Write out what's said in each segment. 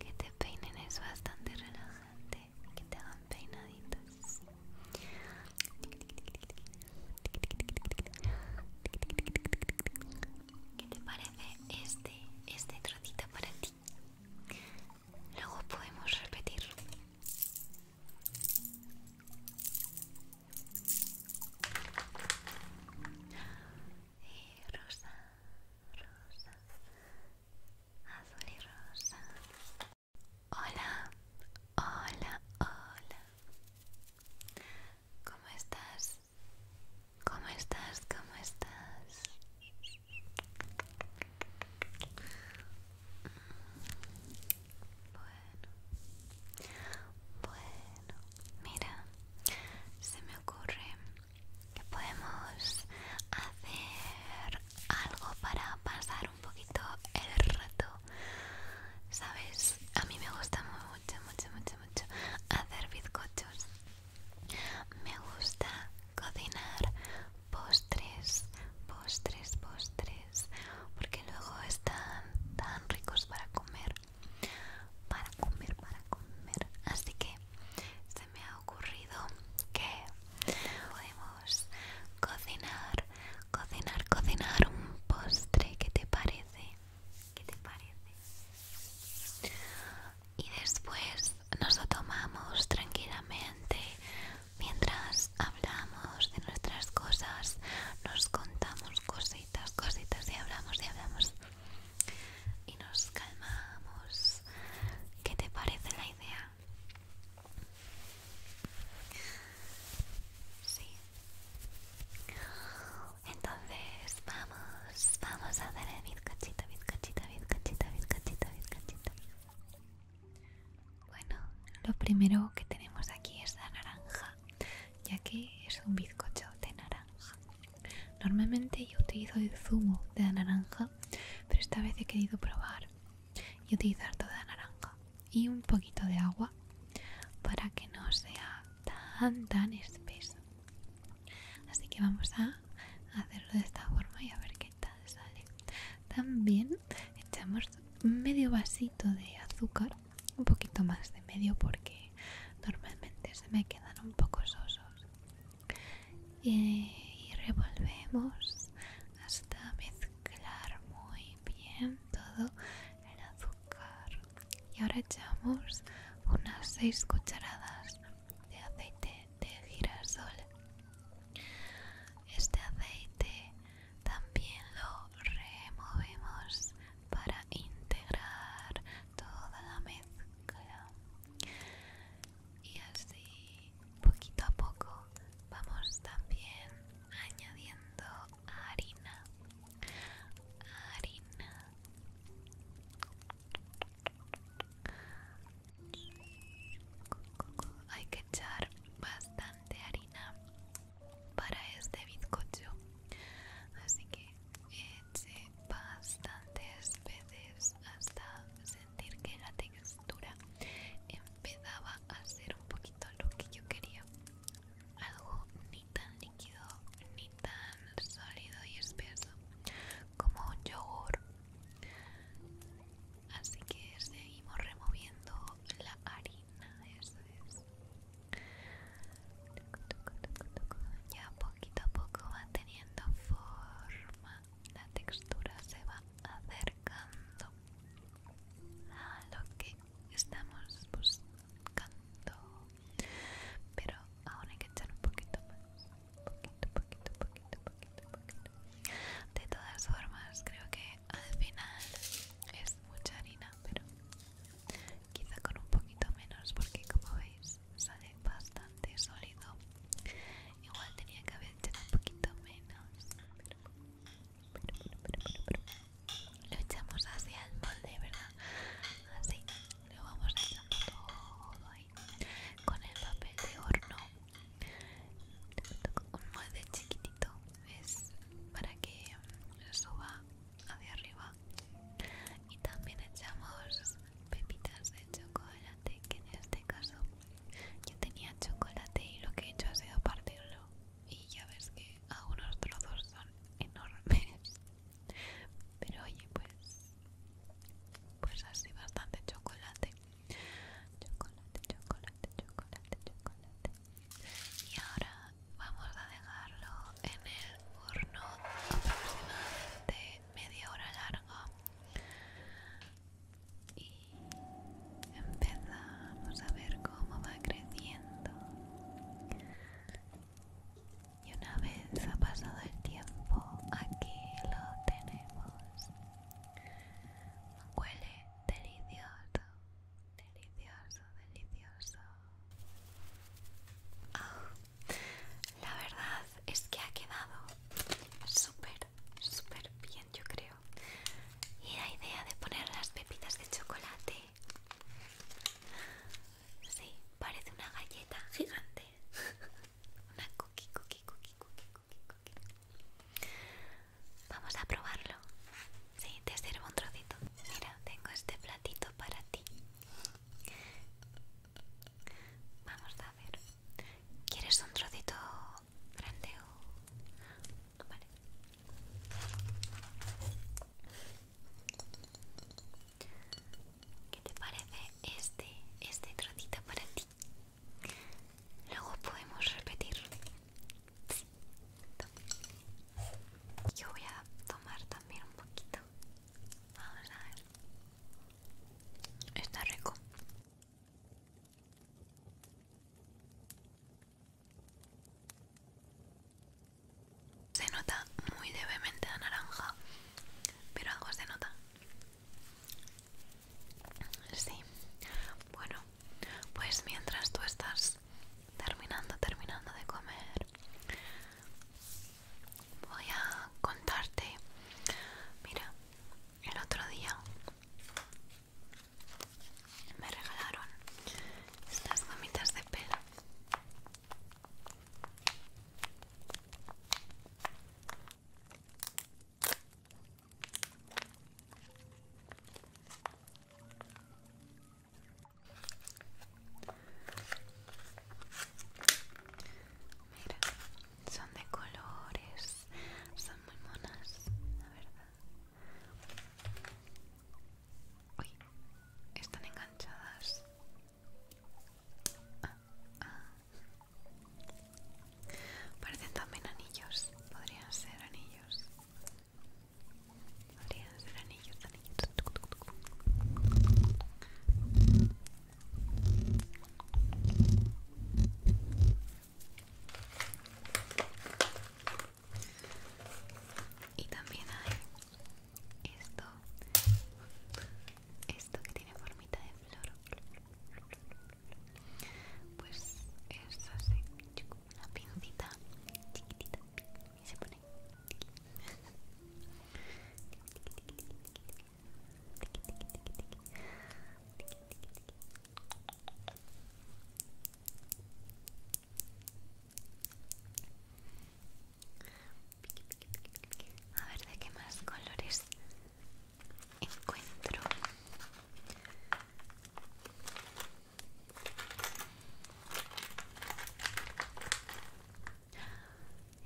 Que te peinen es bastante relajante, y que te hagan peinaditos. ¿Qué te parece este, este trocito para ti? Luego podemos repetir. Eh, rosa, rosa, azul y rosa. Hola, hola, hola. ¿Cómo estás? ¿Cómo estás? ¿Cómo estás? Mm, bueno, bueno, mira, se me ocurre que podemos hacer algo para pasar un poquito el rato. ¿Sabes? A mí me gusta mucho, mucho, mucho, mucho hacer bizcochos. Me gusta cocinar postres, postres, postres, porque luego están tan ricos para comer, para comer, para comer. Así que se me ha ocurrido que podemos cocinar, cocinar, cocinar un postre. ¿Qué te parece? ¿Qué te parece? Y después nos tomamos tranquilamente mientras hablamos de nuestras cosas, nos contamos cositas, cositas y hablamos y hablamos y nos calmamos. ¿Qué te parece la idea? Sí. Entonces vamos, vamos a hacer el bizcachito, bizcachito, bizcachito, bizcachito, bizcachito. Bueno, lo primero que tenemos aquí es la naranja, ya que es un bizcocho de naranja. Normalmente yo utilizo el zumo de la naranja, pero esta vez he querido probar y utilizar toda la naranja y un poquito de agua para que no sea tan tan espeso así que vamos a hacerlo de esta forma y a ver qué tal sale también echamos medio vasito de azúcar un poquito más de medio porque normalmente se me quedan un poco sosos eh, y revolvemos hasta mezclar muy bien todo el azúcar y ahora echamos unas 6 cucharadas de aceite de girasol este aceite también lo removemos para integrar toda la mezcla y así poquito a poco vamos también añadiendo harina harina hay que echar bastante harina para este bizcocho, así que eché bastantes veces hasta sentir que la textura empezaba a ser un poquito lo que yo quería, algo ni tan líquido ni tan sólido y espeso como un yogur así que seguimos removiendo la harina eso es ya poquito a poco va teniendo forma la textura se va acercando a lo que estamos buscando pero aún hay que echar un poquito más poquito, poquito, poquito, poquito de todas formas creo que al final es mucha harina pero quizá con un poquito menos porque como veis sale bastante sólido igual tenía que haber echado un poquito menos pero, pero, pero, pero, pero. lo echamos hacia el molde verdad así le vamos echando todo ahí con el papel de horno un molde chiquitito es para que suba hacia arriba y también echamos pepitas de chocolate que en este caso yo tenía chocolate y lo que he hecho ha sido partirlo y ya ves que algunos trozos son enormes pero oye, pues, pues así bastante chocolate. Chocolate, chocolate, chocolate, chocolate. Y ahora vamos a dejarlo en el horno aproximadamente media hora largo Y empezamos a ver cómo va creciendo. Y una vez ha pasado el tiempo, aquí lo tenemos. Huele delicioso, delicioso, delicioso. Ah, la verdad es que ha quedado súper, súper bien, yo creo. Y la idea de poner las pepitas de chocolate Sí, parece una galleta gigante. una cookie, cookie, cookie, cookie, cookie, cookie. Vamos a probarlo. Sí, te sirvo un trocito. Mira, tengo este platito para ti. Vamos a ver. ¿Quieres un trocito grande o...? Vale. ¿Qué te parece este, este trocito para ti? Luego podemos repetir. Yo voy a tomar también un poquito. a ver. Está rico. Se nota muy levemente la naranja, pero algo se nota. Sí. Bueno, pues mientras tú estás terminando, terminando de comer, voy a contarte. Mira, el otro día me regalaron estas gomitas de pelo Mira, son de colores, son muy monas, la verdad. Uy, están enganchadas. Parecen también anillos, podrían ser anillos. Podrían ser anillos, anillos. Y también hay esto esto que tiene formita de flor pues es así una pincita chiquitita y se pone a ver de qué más colores encuentro.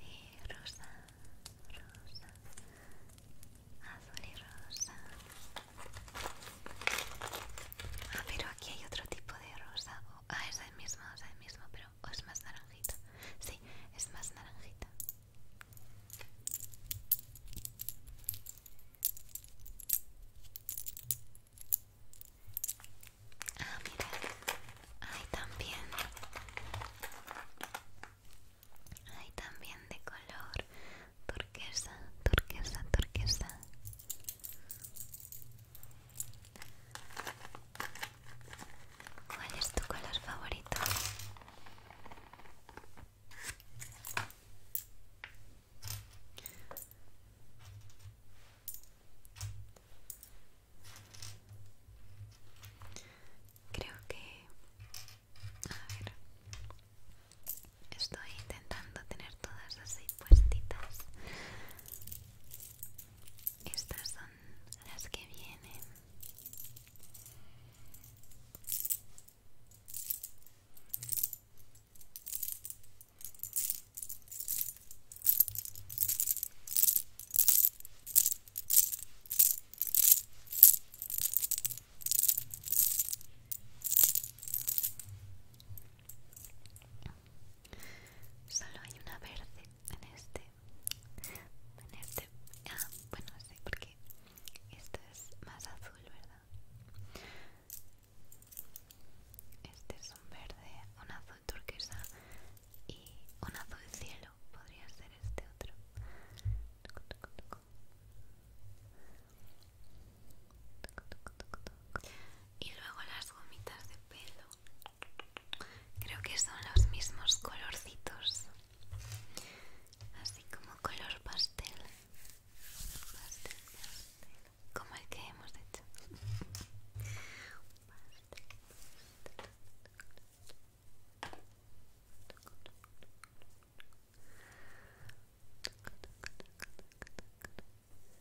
Eh, rosa, rosa, azul y rosa. Ah, pero aquí hay otro tipo de rosa. ah, es el mismo, es el mismo, pero o es más naranjita. Sí, es más naranjita. Ah, mira. Hay también. Hay también de color turquesa, turquesa, turquesa. ¿Cuál es tu color favorito? Creo que... A ver... Estoy intentando tener todas así puestitas estas son las que vienen. Solo hay una verde en este. En este. Ah, bueno, sí, porque Esto es más azul, ¿verdad? Este es un verde, un azul turquesa y un azul cielo. Podría ser este otro. Y luego las gomitas de pelo. Creo que son los mismos colorcitos. Así como color pastel. Pastel, Como el que hemos hecho.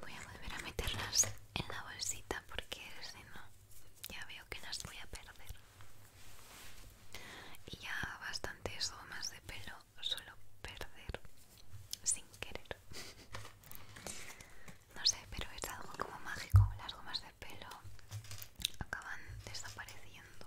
Voy a volver a meterlas en la bolsita porque si no, ya veo que las voy a perder. Y ya bastantes gomas de pelo suelo perder sin querer. No sé, pero es algo como mágico. Las gomas de pelo acaban desapareciendo.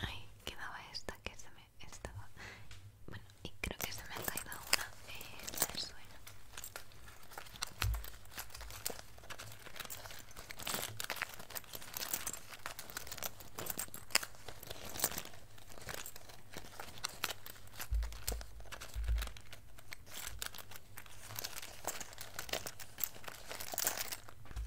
Ay, quedaba esta que se me estaba. Bueno, y creo que se me ha caído una eh,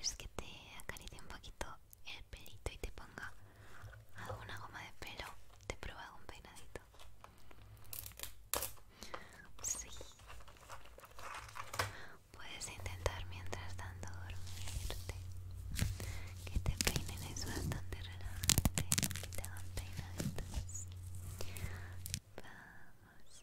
es que te acaricie un poquito el pelito y te ponga alguna goma de pelo te prueba algún peinadito sí puedes intentar mientras tanto dormirte que te peinen es bastante relajante que te hagan peinaditos vamos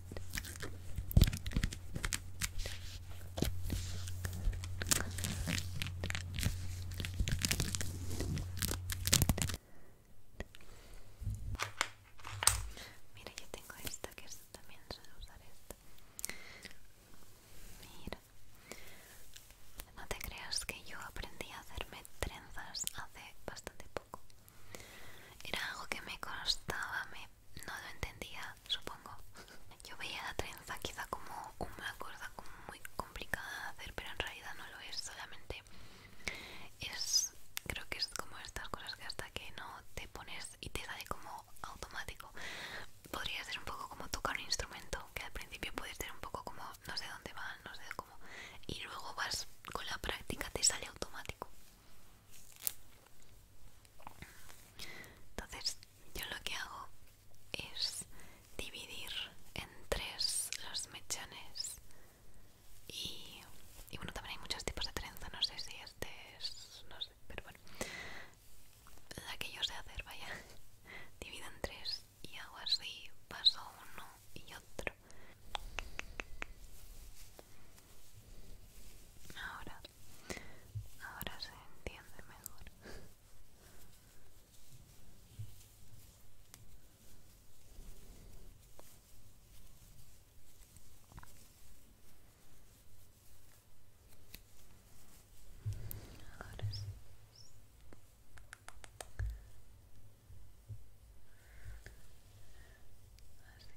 Mira, yo tengo esta que es, también suelo usar esta. Mira, no te creas que yo aprendí a hacerme trenzas hace bastante poco. Era algo que me costaba, me, no lo entendía supongo. Yo veía la trenza quizá como una cosa muy complicada de hacer, pero en realidad no lo es, solamente es, creo que es como estas cosas que hasta que no te pones y te sale como automático. Podría ser un poco como tocar un instrumento, que al principio puedes ser un poco como no sé dónde va, no sé cómo, y luego vas con la práctica, te sale automático. Entonces, yo lo que hago es dividir en tres los mechones. Y, y bueno, también hay muchos tipos de trenza. No sé si este es. No sé, pero bueno. La que yo sé hacer, vaya. Divido en tres y hago así: paso uno y otro. Ahora Ahora se entiende mejor. Ahora sí. Así.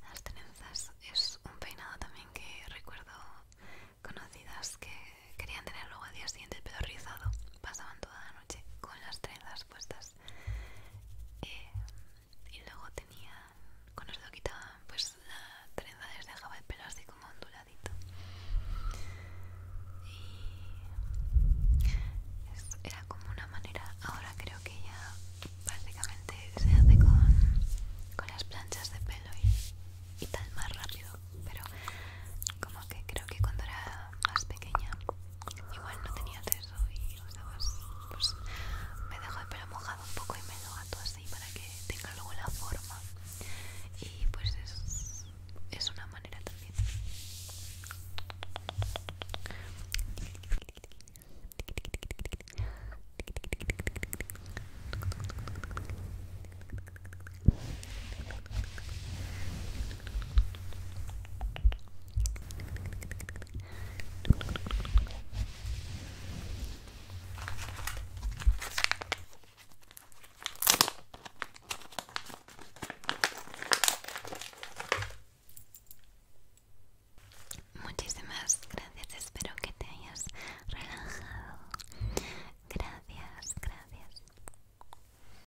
Las trenzas es un peinado también que recuerdo conocidas que querían tener luego al día siguiente el pelo rizado. Pasaban toda la noche con las trenzas eh, y luego tenía con lo quitaban pues la trenza les dejaba el pelo así como onduladito y era como una manera ahora creo que ya básicamente se hace con, las planchas de pelo y tal más rápido pero como que creo que cuando era más pequeña igual no tenía acceso y pues me dejo el pelo mojado un poco y me lo ato así para que tenga luego la forma y pues es una manera también Muchísimas gracias, espero que te hayas relajado. Gracias, gracias.